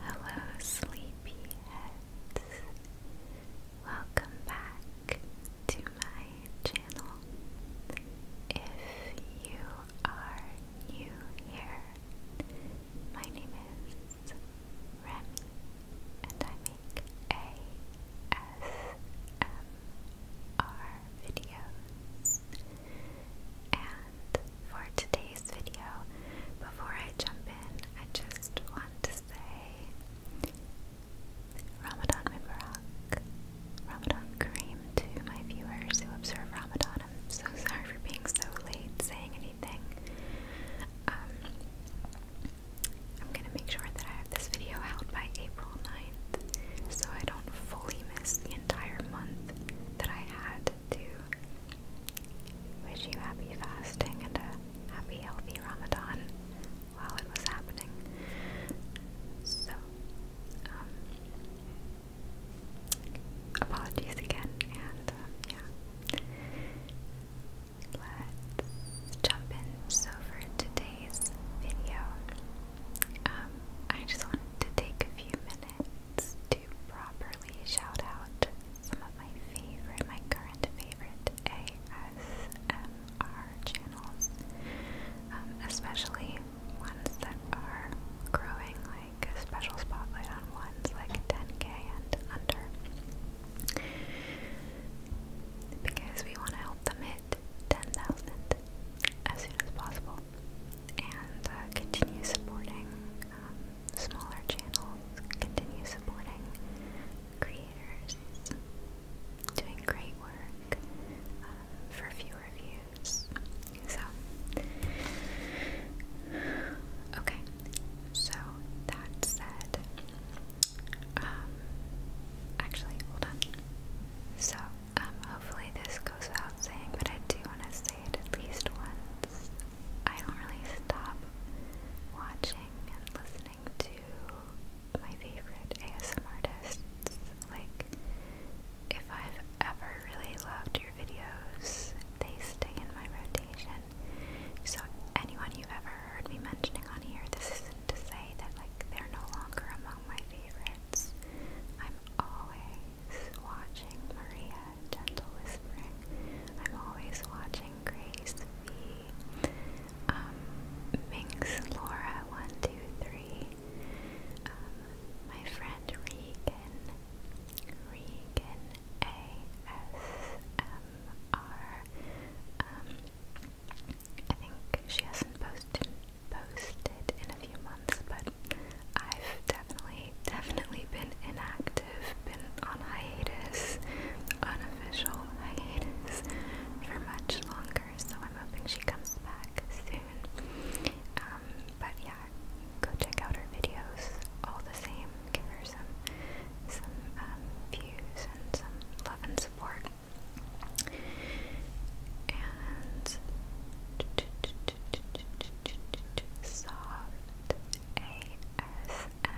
Hello, sleepyheads. Welcome back to my channel. If you are new here, my name is Remy, and I make ASMR videos for today's video. Before I jump in, I just want to say Ramadan Mubarak, Ramadan Kareem to my viewers who observe Ramadan. I'm so sorry for being so late saying anything. Um, I'm gonna make sure that I have this video out by April 9th so I don't fully miss the entire month that I had to wish you happy fasting and a happy, healthy Ramadan while it was happening. So, um, apologies again, and um, yeah, let's jump in. So, for today's video, um, I just wanted to take a few minutes to properly shout out some of my favorite, my current favorite ASMR channels, um, especially ones that are growing like a special spotlight on ones like 10k and under. Because we want to help them hit 10,000 as soon as possible and uh, continue supporting um, smaller channels continue supporting creators doing great work uh, for fewer views. So, okay, so that said, um, actually, hold on. So, um, hopefully this goes without saying, but I do want to at least once. I don't really stop watching and listening to my favorite ASM artists. Like, if I've ever really loved your videos, they stay in my rotation. So, anyone you've ever heard me mentioning on here, this isn't to say that, like, they're no longer among my favorites. I'm always watching Maria, gentle whispering. I'm always watching Grace V. Um, Laura, one, two, three. Um, my friend Regan, Regan ASMR. Um, think she hasn't posted posted in a few months, but I've definitely, definitely been inactive, been on hiatus, unofficial hiatus for much longer, so I'm hoping she comes back soon. Um, but yeah, go check out her videos all the same, give her some some um, views and some love and support. And soft ASMR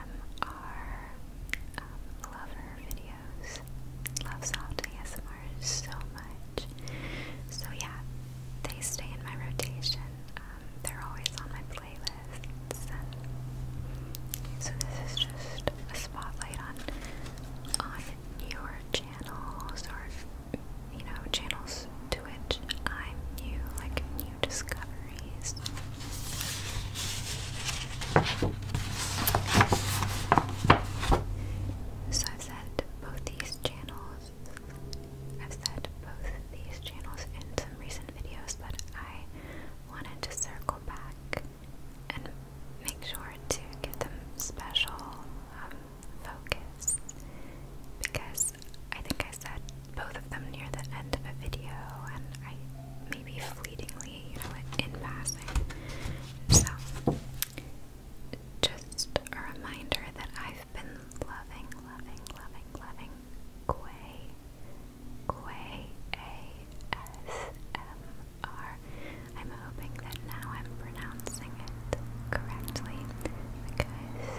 um, videos. Love soft ASMR so much. So yeah, they stay in my rotation. Um, they're always on my playlist. so this is just a spotlight on on newer channels or you know, channels to which I'm new, like new discoveries. So I've both these channels, I've set both these channels in some recent videos, but I wanted to circle back and make sure to give them special um, focus because I think I said both of them near the end of a video, and I maybe fleetingly, you know, in passing. So, just a reminder that I've been loving, loving, loving, loving Quay, Quay A-S-M-R. I'm hoping that now I'm pronouncing it correctly because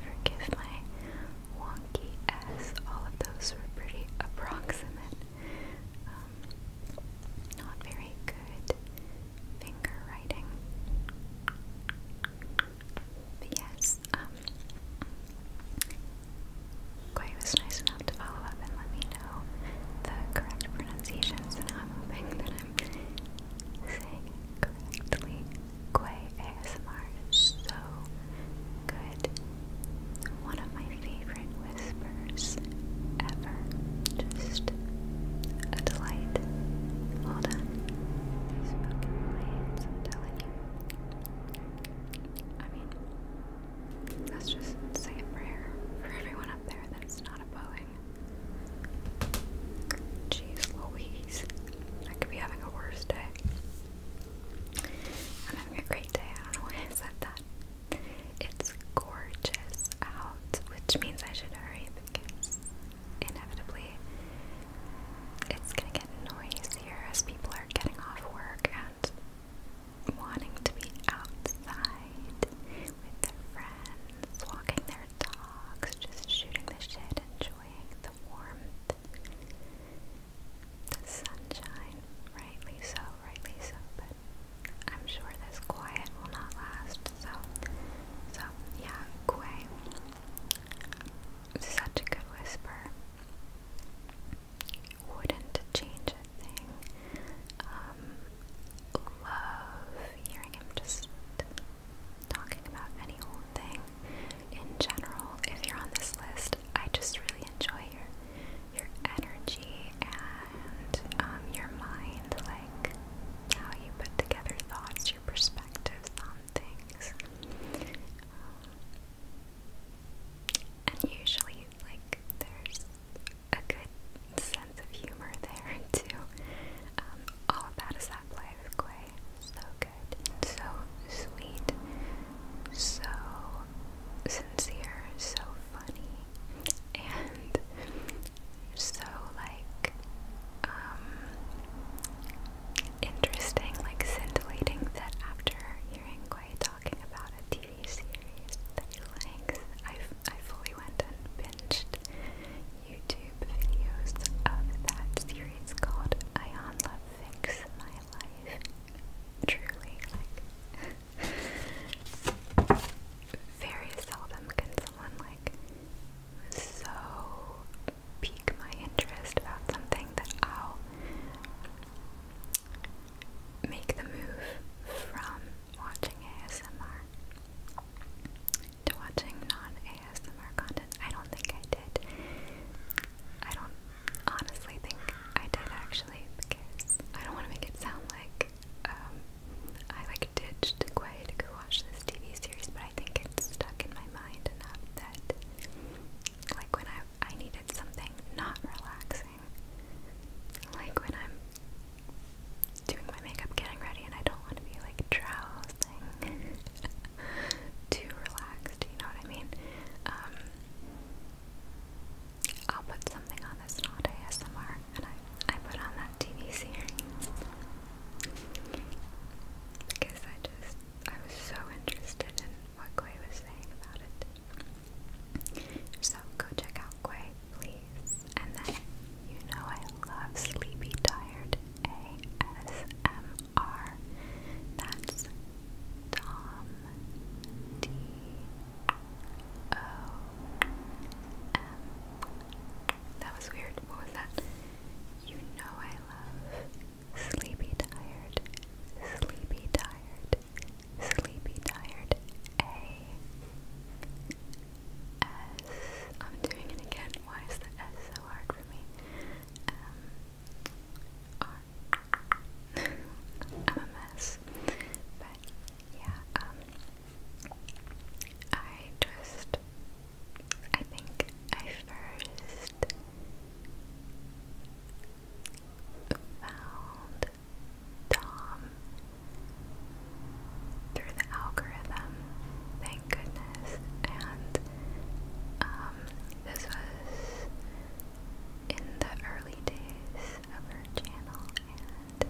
Forgive my wonky ass. All of those were pretty approximate. Um, not very good finger writing. yes, um, was nice enough to follow up and let me know the correct pronunciations, and I'm hoping that I'm saying correctly. Quay ASMR is so good. One of my favorite whispers ever. Just a delight. Well done. These fucking planes, I'm telling you. I mean, let's just say a prayer for everyone up there that's not a Boeing. Jeez Louise. I could be having a worse day. I'm having a great day. I do said that. It's gorgeous out, which means I should hurry because inevitably it's gonna get noisier as people are getting off work and wanting to be outside with their friends, walking their dogs, just shooting the shit, enjoying the warmth, the sunshine. Rightly so, rightly so, but I'm sure this quiet will not last. So, so yeah, Quay, such a good whisper. Wouldn't change a thing. Um, love hearing him just talking about any old thing in general. If you're on this list, I just really enjoy your your energy and um, your mind, like how you put together thoughts, your perspectives on things. Um, and usually, like, there's a good sense of humor there too. Um, all about is that play with Quay. So good, so sweet, so sincere, so funny, and so like um, interesting, like scintillating that after hearing Quay talking about a TV series that he likes, I, I fully went and binged YouTube videos of that series called Ion Love Fix My Life. Truly, like, very seldom can someone, like, so pique my interest about something that I'll make the move from watching ASMR to watching non-ASMR content. I don't think I did. I don't honestly think I did actually because I don't want to make it sound like um, I like ditched Quay to go watch this TV series, but I think it's stuck in my mind enough that like when I I needed something not relaxing, like when I'm doing my makeup, getting ready, and I don't want to be like drowsing, too relaxed, you know what I mean? Um, I'll put something on this not ASMR, and I, I put on that TV series because I just, I was so interested in what Quay was saying about it. So go check out Quay, please days, and then you know I love Sleepy Tired ASMR. That's Tom D O M. That was weird. What was that? You know I love Sleepy Tired, Sleepy Tired, Sleepy Tired A S. I'm doing it again. Why is the S so hard for me? Um, But yeah, um, I just, I think I first found Tom through the algorithm, thank goodness. And um, this was in the early days of her channel, and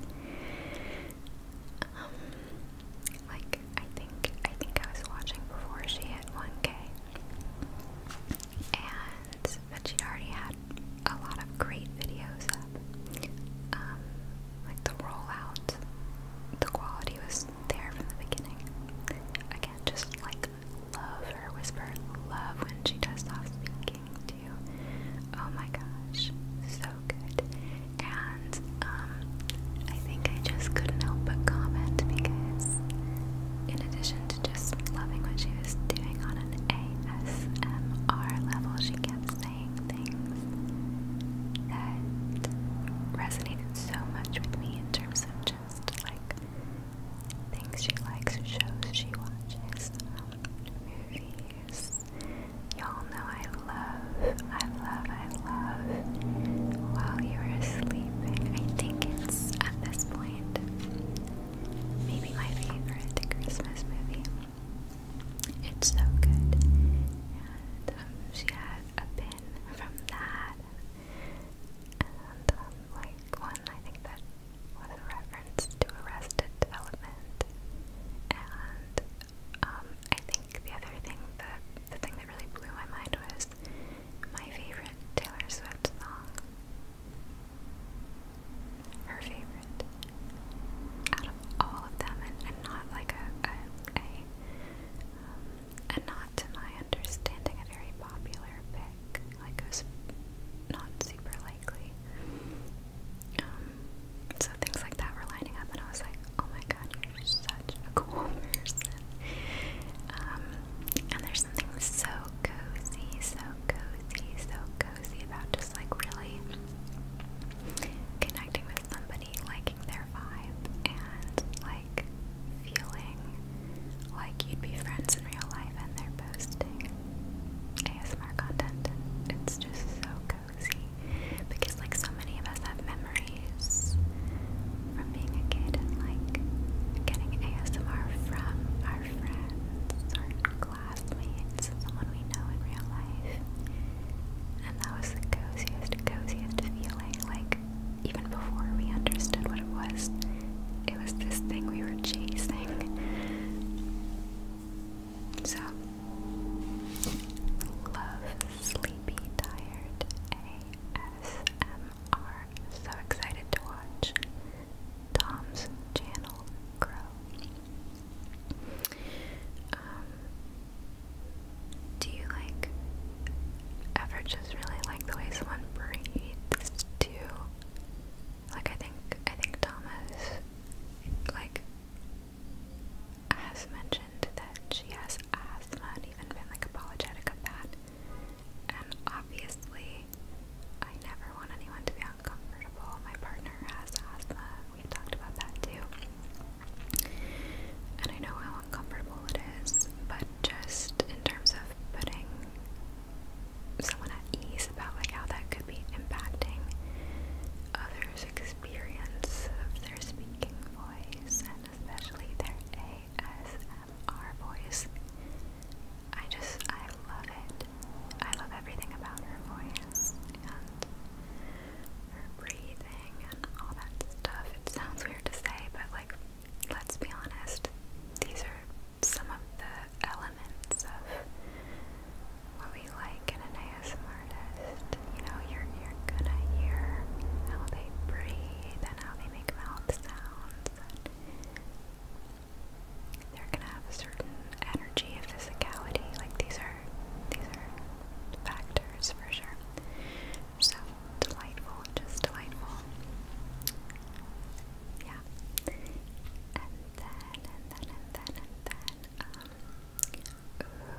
um, like I think I think I was watching before she hit 1K, and but she'd already had a lot of great videos up. Um, like the rollout, the quality was there from the beginning. I can't just like love her whisper, love when she does stop speaking to you. Oh my gosh, so good. And um, I think I just couldn't help but comment because, in addition to just loving what she was doing on an ASMR level, she kept things that resonated so much with me in terms of just like things she likes, shows she watches, um, movies. Y'all know I love, I love, I love while you are asleep, I think it's at this point maybe my favorite Christmas movie. It's so good. Um, she had a pin from that. Um, like one, I think that was a reference to Arrested Development. And um, I think the other thing, that, the thing that really blew my mind was my favorite Taylor Swift song. Her favorite out of all of them, and, and not like a, a way, um, and not to my understanding a very popular pick. Like it was not super likely. Um, so things like that were lining up, and I was like, "Oh my God, you're such a cool person!" Um, and there's something so cozy, so cozy, so cozy about just like really connecting with somebody already liking their vibe and like feeling like you'd be friends in real life and they're posting ASMR content and it's just so cozy because like so many of us have memories from being a kid and like getting ASMR from our friends or classmates, someone we know in real life that was the coziest, coziest feeling. Like, even before we understood what it was, it was this thing we were chasing. So, love, sleepy, tired, ASMR. So excited to watch Tom's channel grow. Um, do you like ever just really like the way someone breathes too? Like I think I think Thomas like has mentioned that she has asthma and even been like apologetic of that. And obviously I never want anyone to be uncomfortable. My partner has asthma. We've talked about that too. And I know how uncomfortable it is, but just in terms of putting someone at ease about like how that could be impacting others' experience of their speaking voice and especially their ASMR voice. I just I love it. I love everything about her voice her breathing and all that stuff. It sounds weird to say, but like, let's be honest, these are some of the elements of what we like in an ASMR artist. You know, you're you're gonna hear how they breathe and how they make mouth sounds. And they're gonna have a certain energy of physicality. Like these are these are factors years for sure. So delightful, just delightful. Yeah. And then, and then, and then, and then,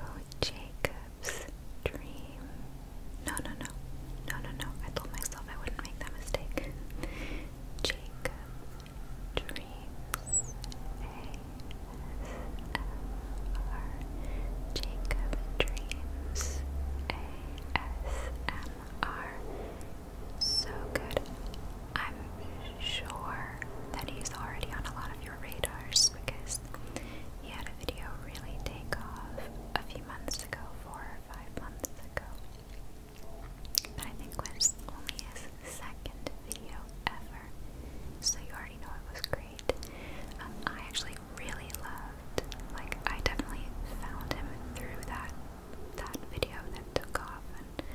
um, Jacob's dream. No, no, no. No, no, no. I told myself I wouldn't make that mistake. Jacob's dreams. Jacob Dreams ASMR. So good. I'm sure that he's already on a lot of your radars because he had a video really take off a few months ago, four or five months ago. I think was only his second video ever. So you already know it was great. I actually really loved, like, I definitely found him through that that video that took off and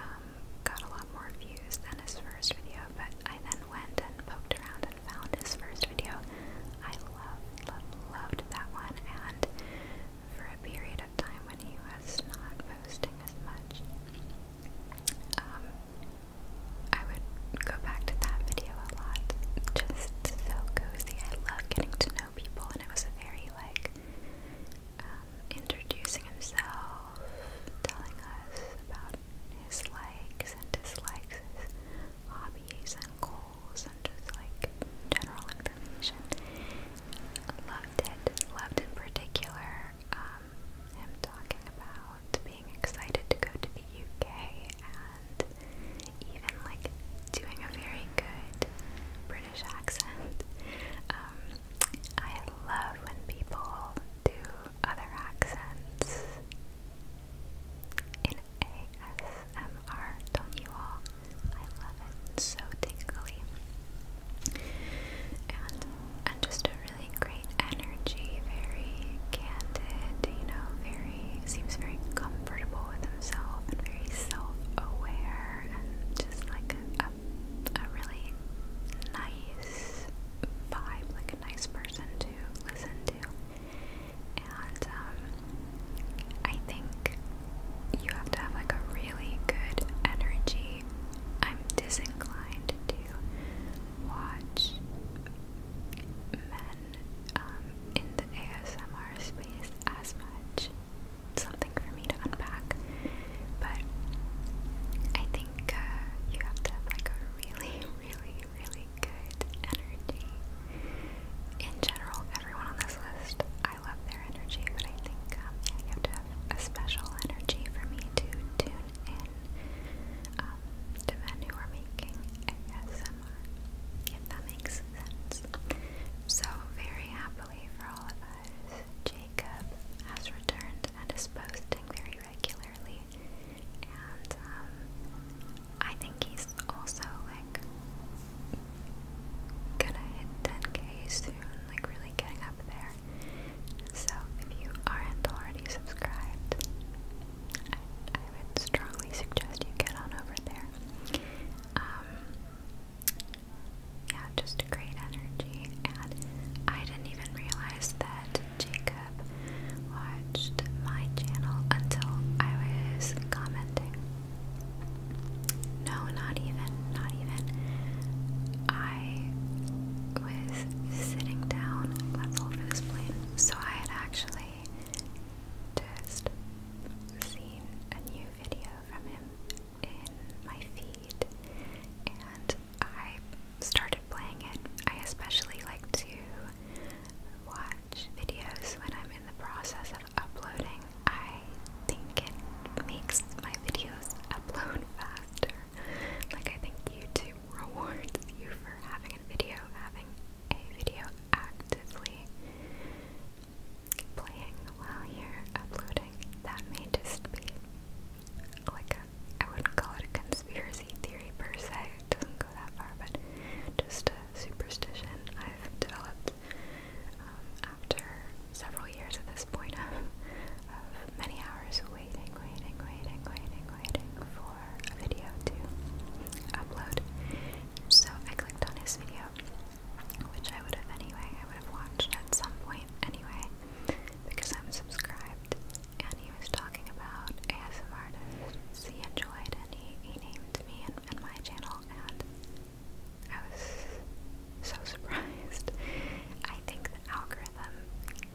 um, got a lot more views than his first video. But I then went and poked around and found his first video. I loved, loved, loved that one. And for a period of time when he was not posting as much, um, I would go back to that video a lot. Just so cozy. I love getting to know people, and it was a very like um, introducing himself, telling us about his likes and dislikes, his hobbies and goals, and just like general information. Loved it. Loved in particular. Um, um, him talking about being excited to go to the UK and even like doing a very good British accent. Um, I love when people do other accents in ASMR, don't you all? I love it, so tingly. And, and just a really great energy, very candid, you know, very seems very comfortable with himself and very self-aware and just like a, a, a really nice vibe, like a nice person to listen to. And um, I think you have to have like a really good energy. I'm disinclined to watch men um, in the ASMR space as much. Something for me to unpack, but I think uh, you have to have like a really, really, really good energy. In general, everyone on this list, I love their energy, but I think um, you have to have a special energy for me to tune and um, men who are making ASMR, if that makes sense. So, very happily for all of us, Jacob has returned and is posting very regularly, and um, I think he's also like gonna hit 10k soon, like really getting up there. So if you aren't already subscribed, I, would strongly suggest you get on over there. Um, yeah, just great energy, and I didn't even realize that Jacob watched my channel until I was commenting. No, not even, not even. I was sitting down. That's all for this plane. So I had actually just seen a new video from him in my feed, and I started playing it. I especially like to watch videos when I'm in the process of uploading. I think it makes my videos upload faster. Like I think YouTube rewards you for having a video, having a video actively playing while you're uploading. That may just be like a, I wouldn't call it a conspiracy theory per se, it doesn't go that far, but just a superstition I've developed um, after several years at this point of many hours waiting, waiting, waiting, waiting, waiting for a video to upload. So I clicked on his video, which I would have anyway, I would have watched at some point anyway, because I'm subscribed. And he was talking about ASM artists he enjoyed, and he, he named me and my channel, and I was so surprised. I think the algorithm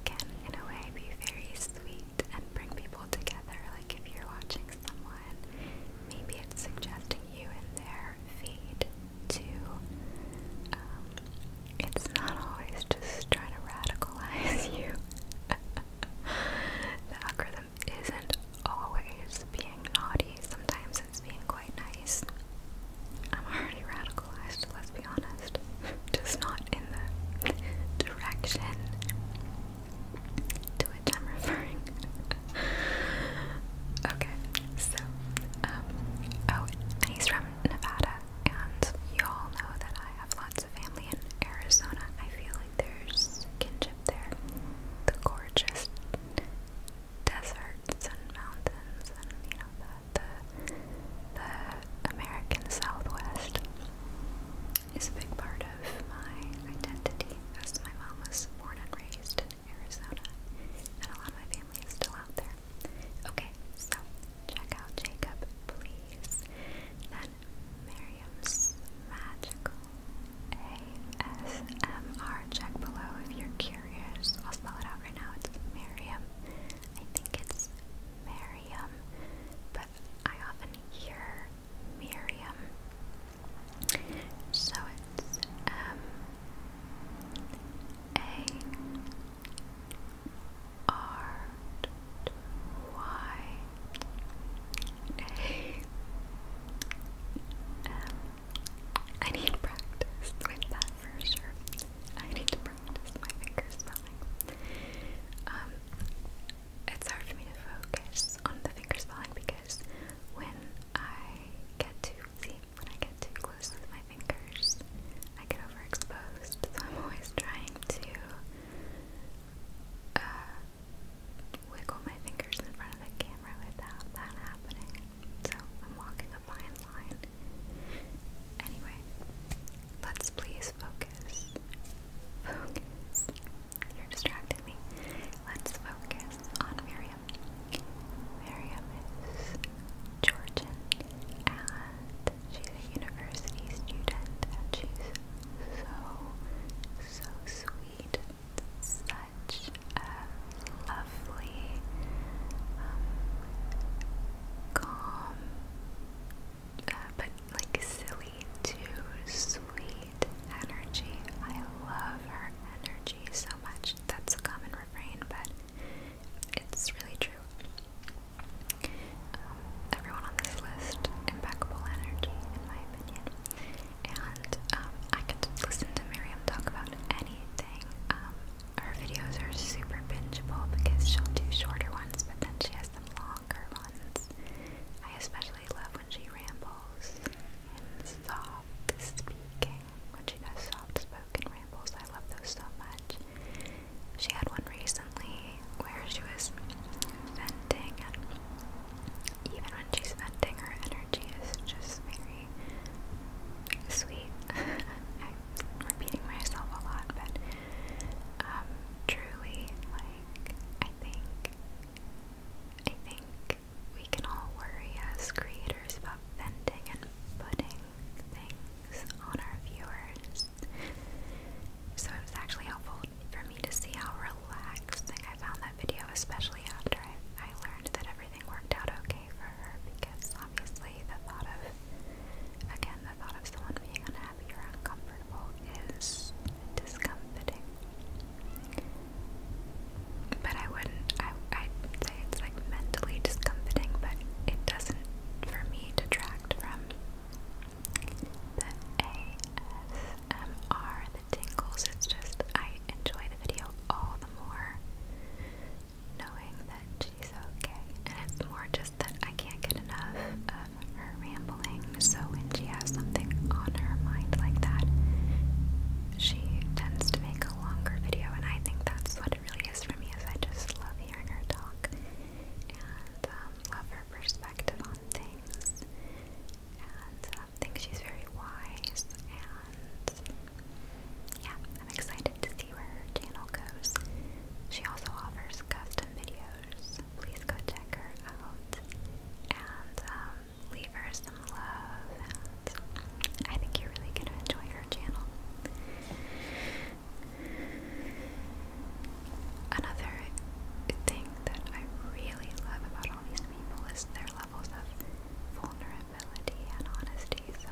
can, in a way, be very sweet and bring people together. Like if you're watching someone, maybe it's suggesting you in their feed too. Um, it's not always just trying to radicalize you. the algorithm isn't always being naughty, sometimes it's being quite nice. I'm already radicalized let's be honest. Just not in the direction to which I'm referring. okay, so, um, oh, and he's from Nevada, and you all know that I have lots of family in Arizona. I feel like there's kinship there. The gorgeous deserts and mountains and, you know, the, the American Southwest is a big part of my identity as my mom was born and raised in Arizona and a lot of my family is still out there. Okay, so check out Jacob, please. Then Miriam's Magical ASMR. Check below if you're curious. I'll spell it out right now. It's Miriam. I think it's Miriam. Miriam, but I often hear Miriam. So it's M um, A R Y A M. Um, I need practice with that for sure. I need to practice my finger spelling. Um, it's hard for me to focus on the finger spelling because when I get too see, when I get too close with my fingers, I get overexposed. So I'm always trying to uh, wiggle my fingers in front of the camera without that happening. So I'm walking a fine Anyway, let's please focus. Focus. You're distracting me. Let's focus on Miriam. Miriam is Georgian and she's a university student and she's so, so sweet. Such a lovely, um, calm, but like silly too sweet energy. I love her energy so much. That's a common refrain, but it's really true. Um, everyone on this list, impeccable energy, in my opinion. And um, I could listen to Miriam talk about anything. Um, her videos are super bingeable because she'll do shorter ones, but then she has them longer ones. I especially love when she rambles and soft speaking. When she does soft spoken rambles, I love those so much. She had one recently where she was venting, and even when she's venting, her energy is just very sweet. repeating myself a lot, but um, truly, like, I think, I think we can all worry as creators about venting and putting things on our viewers. So it was actually helpful for me to see how relaxed I found that video, especially after I, I learned that everything worked out okay for her because obviously, the thought of, again, the thought of someone being unhappy or uncomfortable is discomforting. But I wouldn't, I, I'd say it's like mentally discomforting, but it doesn't, for me, detract from the ASMR, the tingles. It's just, I enjoy the video all the more knowing that she's okay. And it's more just that I can't get enough of her rambling. So when she has something on her mind like that, she tends to make a longer video. And I think that's what it really is for me is I just love hearing her talk and um, love her perspective on things. And um, I um, think she's very wise. And yeah, I'm excited to her channel goes. She also offers custom videos. Please go check her out and um, leave her some love. I think you're really gonna enjoy her channel. Another thing that I really love about all these people is their levels of vulnerability and honesty. So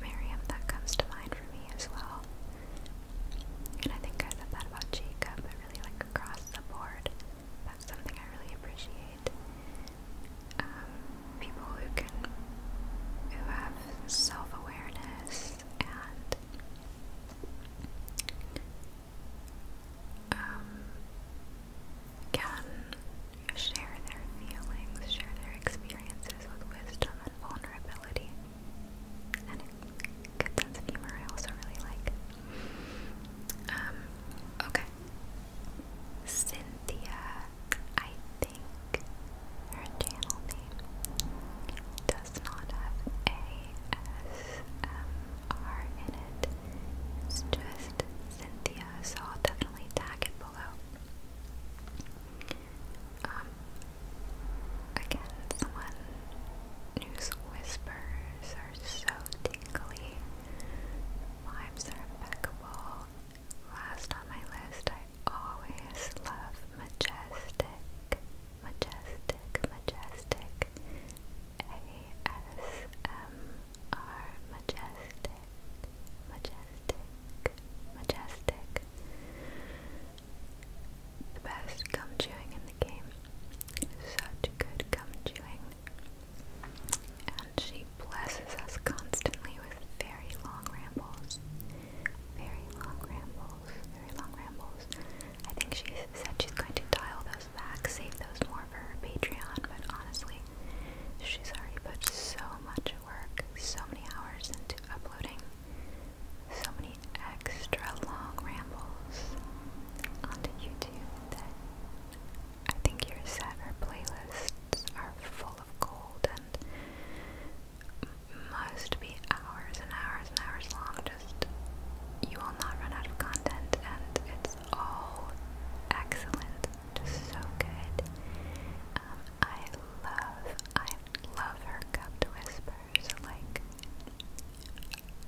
Miriam that comes to mind for me as well. And I think I said that about Jacob, but really like across the board. That's something I really appreciate. Um, people who can, who have self-awareness and um, can share their feelings, share their experiences with wisdom and vulnerability and a good sense of humor I also really like. Um, okay. Cynthia, I think her channel name does not have ASMR in it. It's just Cynthia, so definitely tag it below. Um, again, someone whose whispers are so tingly. Vibes are impeccable. Last on my list, I always love Majestic. Majestic, Majestic. A-S-M-R, Majestic. Majestic, Majestic the best gum chewing in the game. Such good gum chewing. And she blesses us constantly with very long rambles. Very long rambles. Very long rambles. I think she said she's going to dial those back, save those more for her Patreon, but honestly, she's already put so much work, so many hours into uploading so many extra long rambles onto YouTube I think your set or playlists are full of gold and must be hours and hours and hours long. Just you will not run out of content, and it's all excellent, just so good. Um, I love, I love her cupped whispers. Like,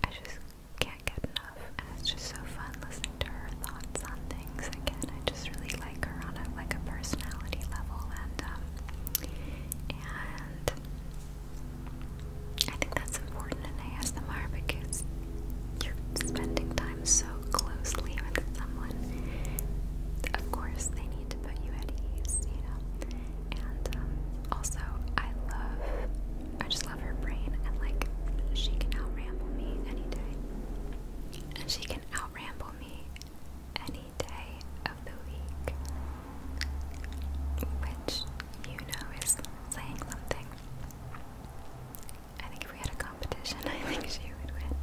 I just can't get enough. And it's just so fun listening to her thoughts on things. Again, I just really like her on a like a personality level, and um, and I think that's important in ASMR because you're spending time so closely with someone. Of course, they need put you at ease, you know. And um, also, I love, I just love her brain, and like, she can outramble me any day, and she can outramble me any day of the week, which you know is saying something. I think if we had a competition, I think she would win.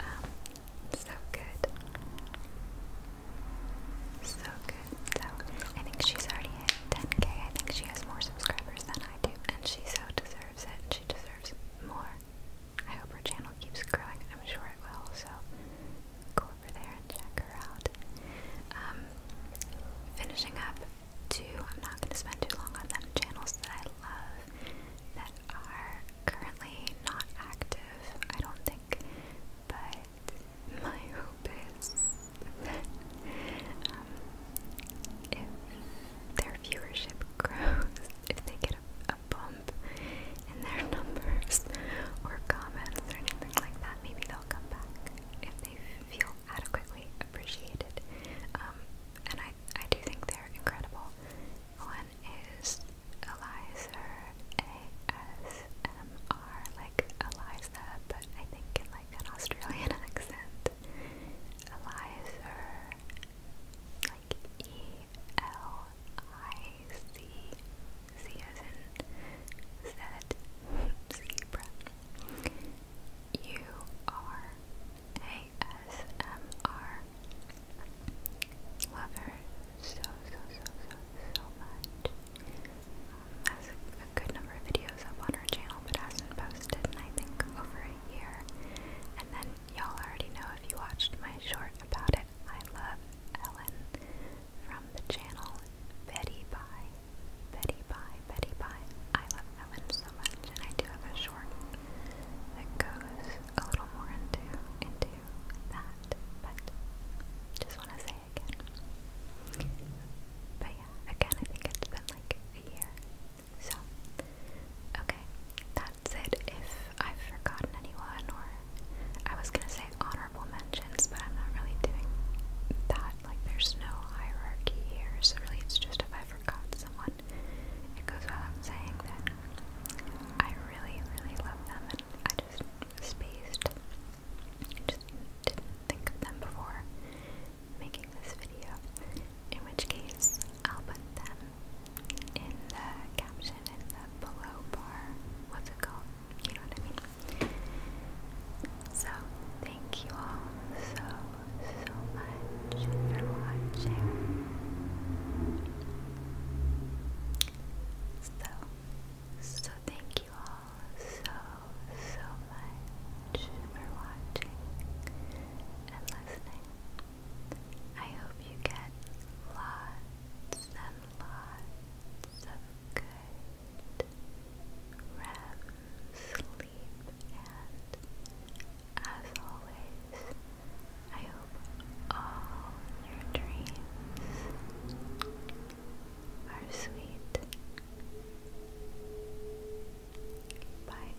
Um, so good. So good. So I think she's already hit 10k. I think she has more subscribers than I do, and she so deserves it. She deserves more. I hope her channel keeps growing. I'm sure it will. So go over there and check her out. Um, finishing up two. I'm not going to spend too long on them. Channels that I love that are currently not active, I don't think, but my hope is um, if their viewership grows, if they get a, bump in their numbers or comments or anything like that, maybe they'll come back if they feel adequately appreciated. Um, and I, I do think they're incredible. One is Eliza ASMR, like Eliza, but I think in like an Australian accent. Eliza, like E L I C C as in Z zebra. U R A S M R Love her so, so, so, so, so much. Has a good number of videos up on her channel, but hasn't posted in I think over a year. And then y'all already know if you watched my short about it. I love Ellen from the channel Betty Bye, Betty Bye, Betty Bye. I love Ellen so much, and I do have a short that goes a little more into into that, but just want to say again. But yeah, again, I think it's been like a year. So, okay, that's it. If I've forgotten anyone, or I was gonna say honorable mentions, but I'm not really doing that. Like, there's no hierarchy here, so really, it's just if I forgot someone, it goes without saying that I really, really love them I just spaced. just didn't think of them before making this video. In which case, I'll put them in the caption in the below bar. What's it called? You know what I mean? So, thank you all so, so much for watching. So, so thank you all so, so much for watching and listening. I hope you get lots and lots of good REM sleep and as always I hope all your dreams are sweet. Bye.